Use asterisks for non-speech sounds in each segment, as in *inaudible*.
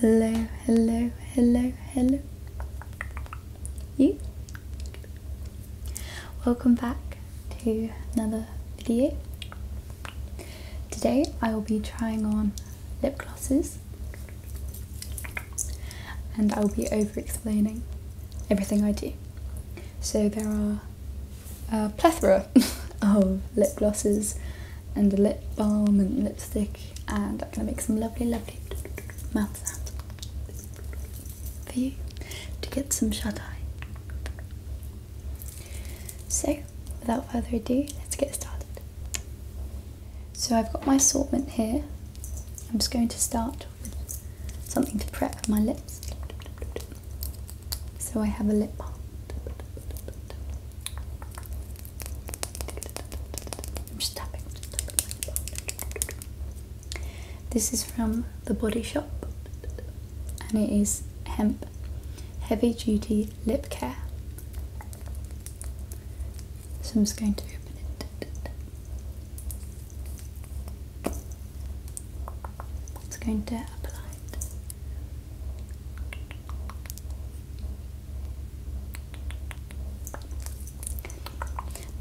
Hello, hello, hello, hello. You? Welcome back to another video. Today I will be trying on lip glosses and I will be over explaining everything I do. So there are a plethora *laughs* of lip glosses and a lip balm and lipstick and I'm gonna make some lovely lovely mouth sounds for you to get some shut eye. So without further ado let's get started. So I've got my assortment here. I'm just going to start with something to prep my lips. So I have a lip balm. This is from the Body Shop and it is hemp heavy duty lip care. So I'm just going to open it. It's going to apply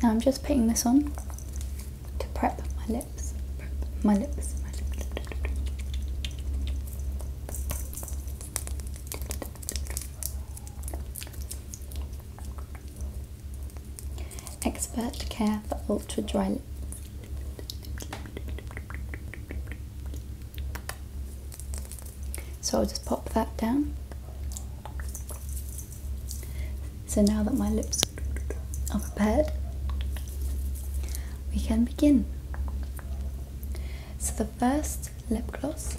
now I'm just putting this on to prep my lips. My lips. Expert care for ultra dry lips. So I'll just pop that down. So now that my lips are prepared, we can begin. So the first lip gloss,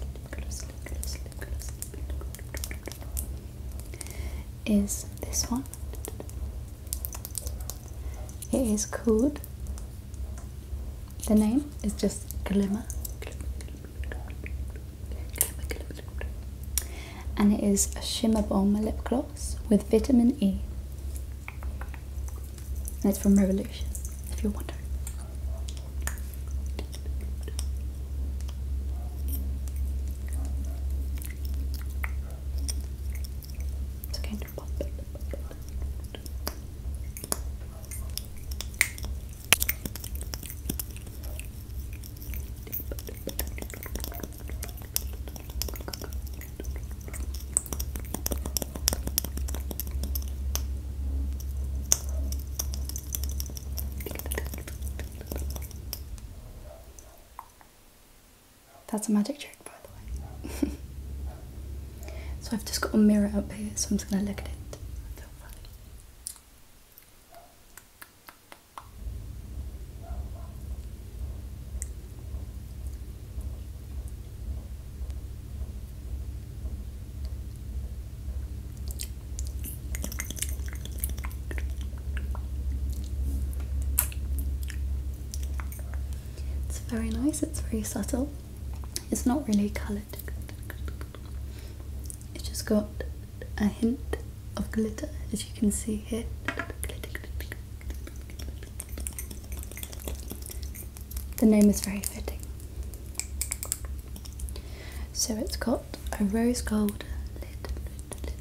is this one. It is called, the name is just Glimmer. And it is a Shimmer bomb lip gloss with vitamin E. it's from Revolution, if you're wondering. It's okay to pop it. Okay. That's a magic trick, by the way. *laughs* so I've just got a mirror up here, so I'm just going to look at it. It's very nice, it's very subtle. It's not really coloured. It's just got a hint of glitter as you can see here. The name is very fitting. So it's got a rose gold lid,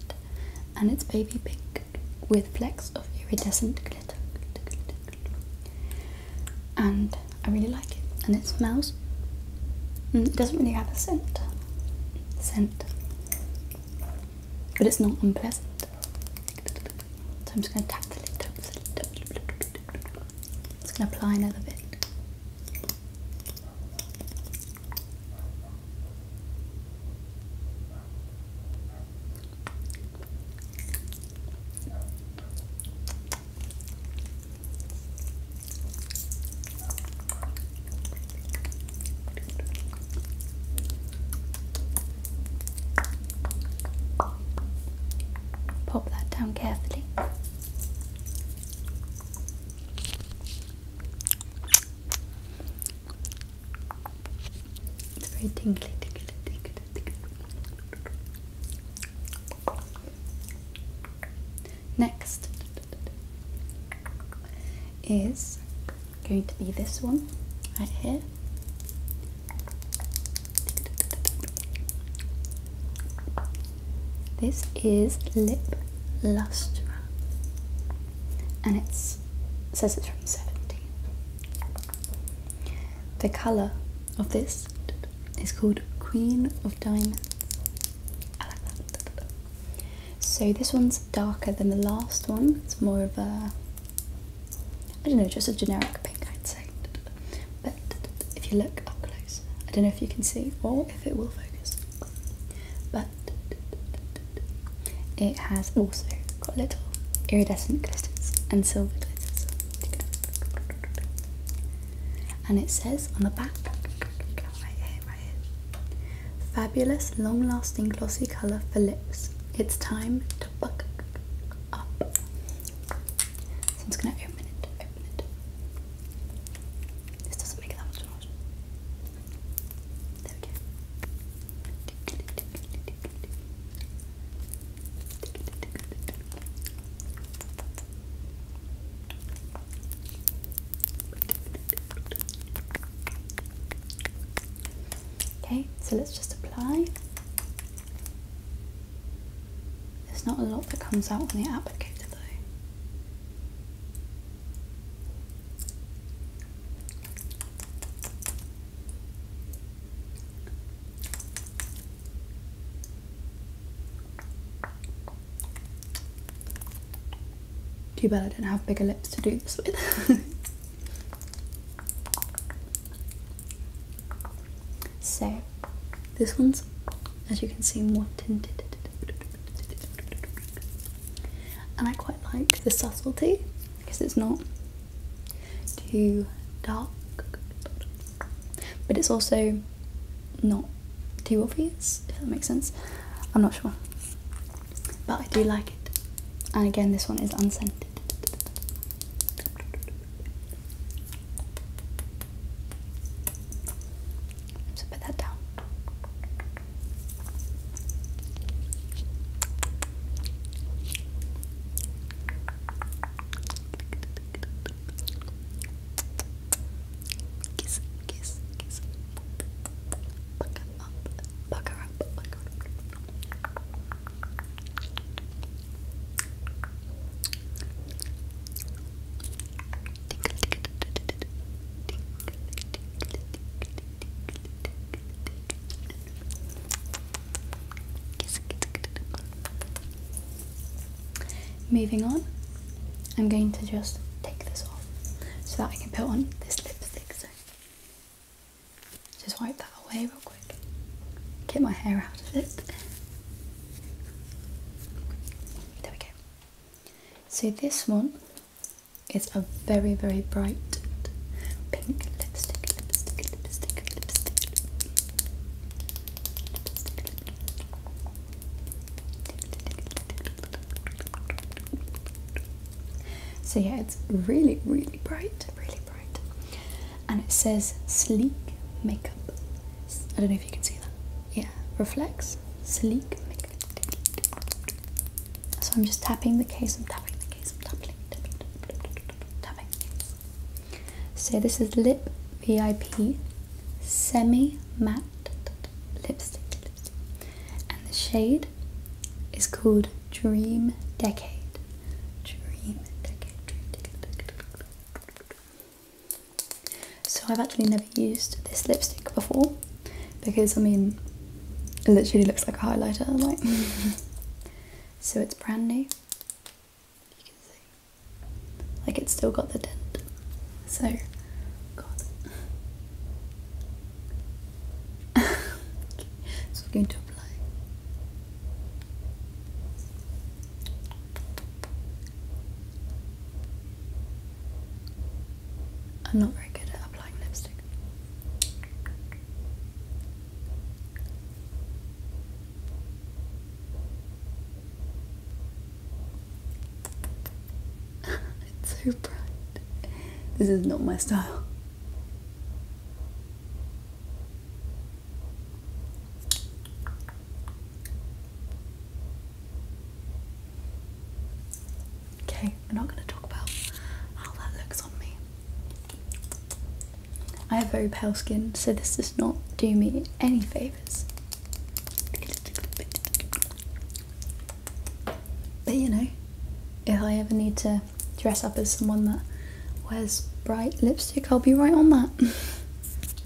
and it's baby pink with flecks of iridescent glitter. And I really like it. And it smells. Mm, it doesn't really have a scent. Scent. But it's not unpleasant. So I'm just going to tap the lid. Tap the Just going to apply another bit. Pop that down carefully. It's very tingly, tingly, tingly, tingly. Next is going to be this one right here. This is Lip Lustra and it says it's from 17. The colour of this is called Queen of Diamonds. So this one's darker than the last one. It's more of a, I don't know, just a generic pink, I'd say. But if you look up close, I don't know if you can see or if it will focus, but it has also got little iridescent glitters and silver glitter, And it says on the back, fabulous, long-lasting glossy colour for lips. It's time to buck up. So I'm just gonna open it. This doesn't make that much noise. There we go. Okay, so let's just apply. There's not a lot that comes out on the applicator though. Too bad I don't have bigger lips to do this with. *laughs* so, this one's, as you can see, more tinted. And I quite like the subtlety because it's not too dark, but it's also not too obvious, if that makes sense. I'm not sure, but I do like it. And again, this one is unscented. So put that down. Kiss, kiss, kiss. Buck her up, buck her up. Moving on, I'm going to just take this off so that I can put on this lipstick. So just wipe that away real quick. Get my hair out of it. There we go. So this one it's a very, very bright pink lipstick, So, yeah, it's really, really bright, really bright. And it says sleek makeup. I don't know if you can see that. Yeah, reflects sleek So I'm just tapping the case, I'm tapping the case, I'm tapping, the case. So this is Lip VIP Semi Matte Lipstick, And the shade is called Dream Decade, Dream Decade. So I've actually never used this lipstick before because I mean it literally looks like a highlighter like *laughs* so it's brand new. Like it's still got the dent. So god. so *laughs* I'm going to apply. I'm not very good at applying lipstick. *laughs* it's so bright. This is not my style. Okay, we're not going to talk about how that looks on me. I have very pale skin, so this does not do me any favours. But you know, if I ever need to dress up as someone that wears bright lipstick, I'll be right on that. *laughs*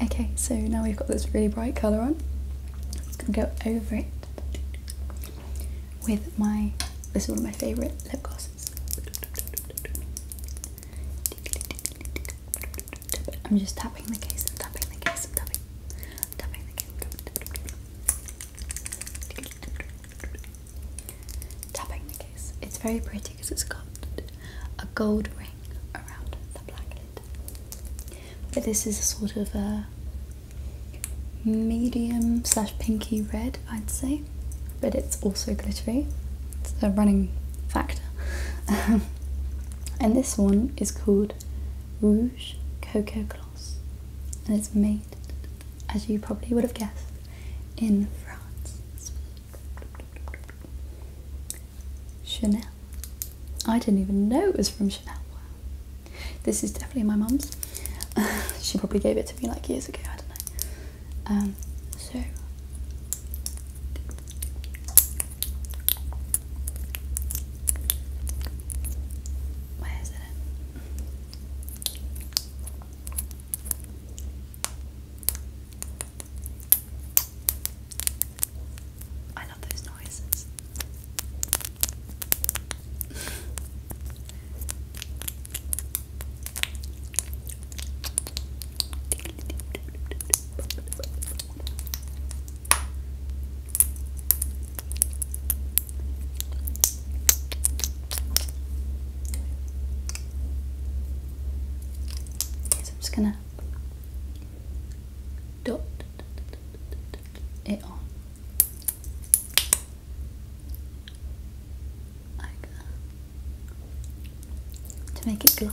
Okay, so now we've got this really bright colour on. I'm just gonna go over it with my this is one of my favourite lip glosses. I'm just tapping the case, i tapping the case, tapping the case. Tapping the case. It's very pretty because it's got a gold ring around the black lid. But this is a sort of a medium slash pinky red, I'd say. But it's also glittery. It's a running factor. *laughs* and this one is called Rouge Coco Gloss, and it's made, as you probably would have guessed, in France. Chanel. I didn't even know it was from Chanel. This is definitely my mum's. *laughs* she probably gave it to me like years ago, I don't know. Um, so, why is it? I love those noises. *laughs* So I'm just gonna dot it on to make it good.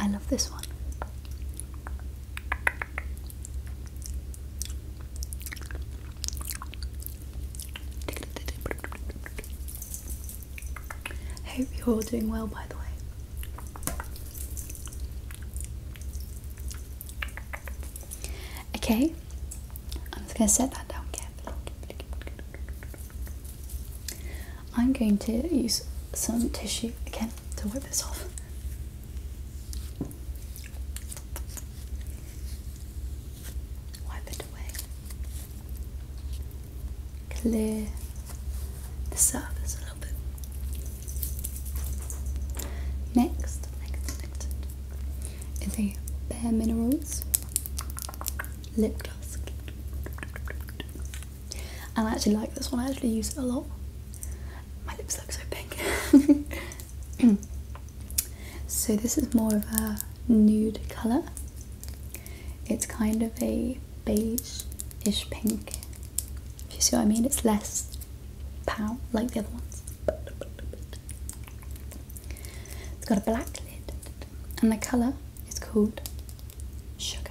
I love this one. Hope you're all doing well, by the way. Okay, I'm just going to set that down carefully. I'm going to use some tissue again to wipe this off. Wipe it away. Clear the surface a little bit. Next, is a Bare Minerals lip gloss. And I actually like this one, I actually use it a lot. My lips look so pink. *laughs* *clears throat* so this is more of a nude colour. It's kind of a beige-ish pink. If you see what I mean, it's less pow like the other ones. It's got a black lid, and the colour is called sugar.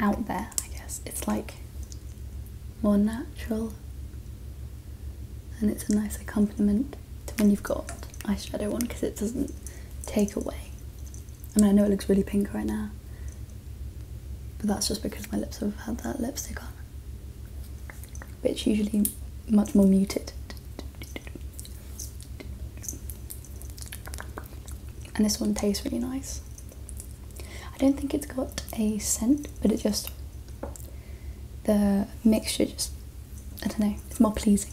out there, I guess. It's like more natural and it's a nice accompaniment to when you've got eyeshadow on because it doesn't take away. I mean, I know it looks really pink right now, but that's just because my lips have had that lipstick on. But it's usually much more muted and this one tastes really nice. I don't think it's got a scent, but it just the mixture just I don't know, it's more pleasing.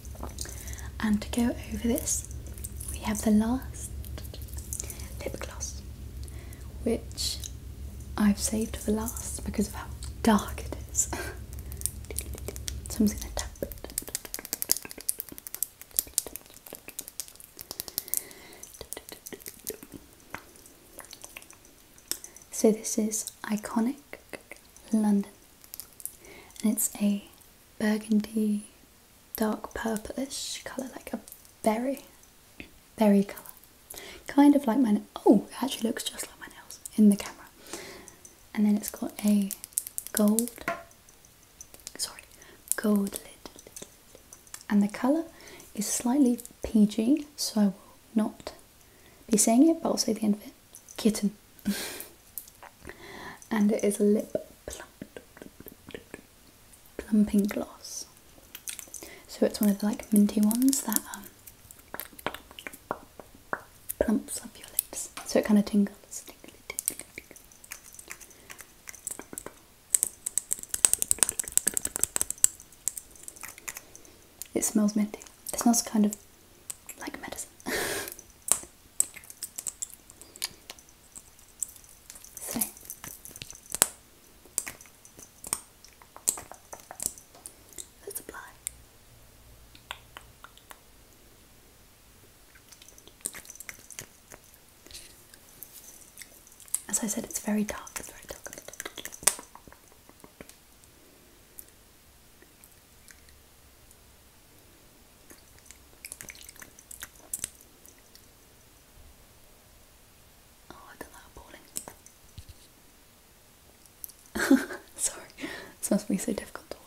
And to go over this, we have the last lip gloss, which I've saved for last because of how dark it is. *laughs* so this is Iconic London. And it's a burgundy, dark purplish colour, like a berry, berry colour. Kind of like my, oh, it actually looks just like my nails in the camera. And then it's got a gold, sorry, gold lid. And the colour is slightly PG, so I will not be saying it, but I'll say the end of it. Kitten. *laughs* and it is lip plumping gloss. So it's one of the like minty ones that um, plumps up your lips. So it kind of tingles. It smells minty. It smells kind of like medicine. so. *laughs* Let's apply. As I said, it's very dark. It's very dark. Oh, I done that appalling. Sorry, this must be so difficult to watch.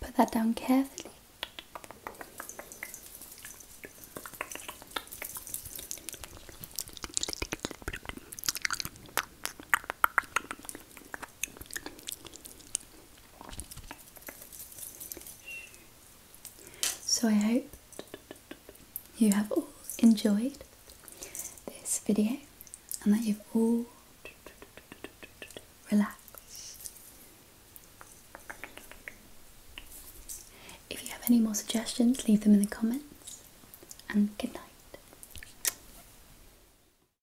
Put that down carefully. So I hope you have all enjoyed this video and that you've all relaxed. If you have any more suggestions, leave them in the comments and good night.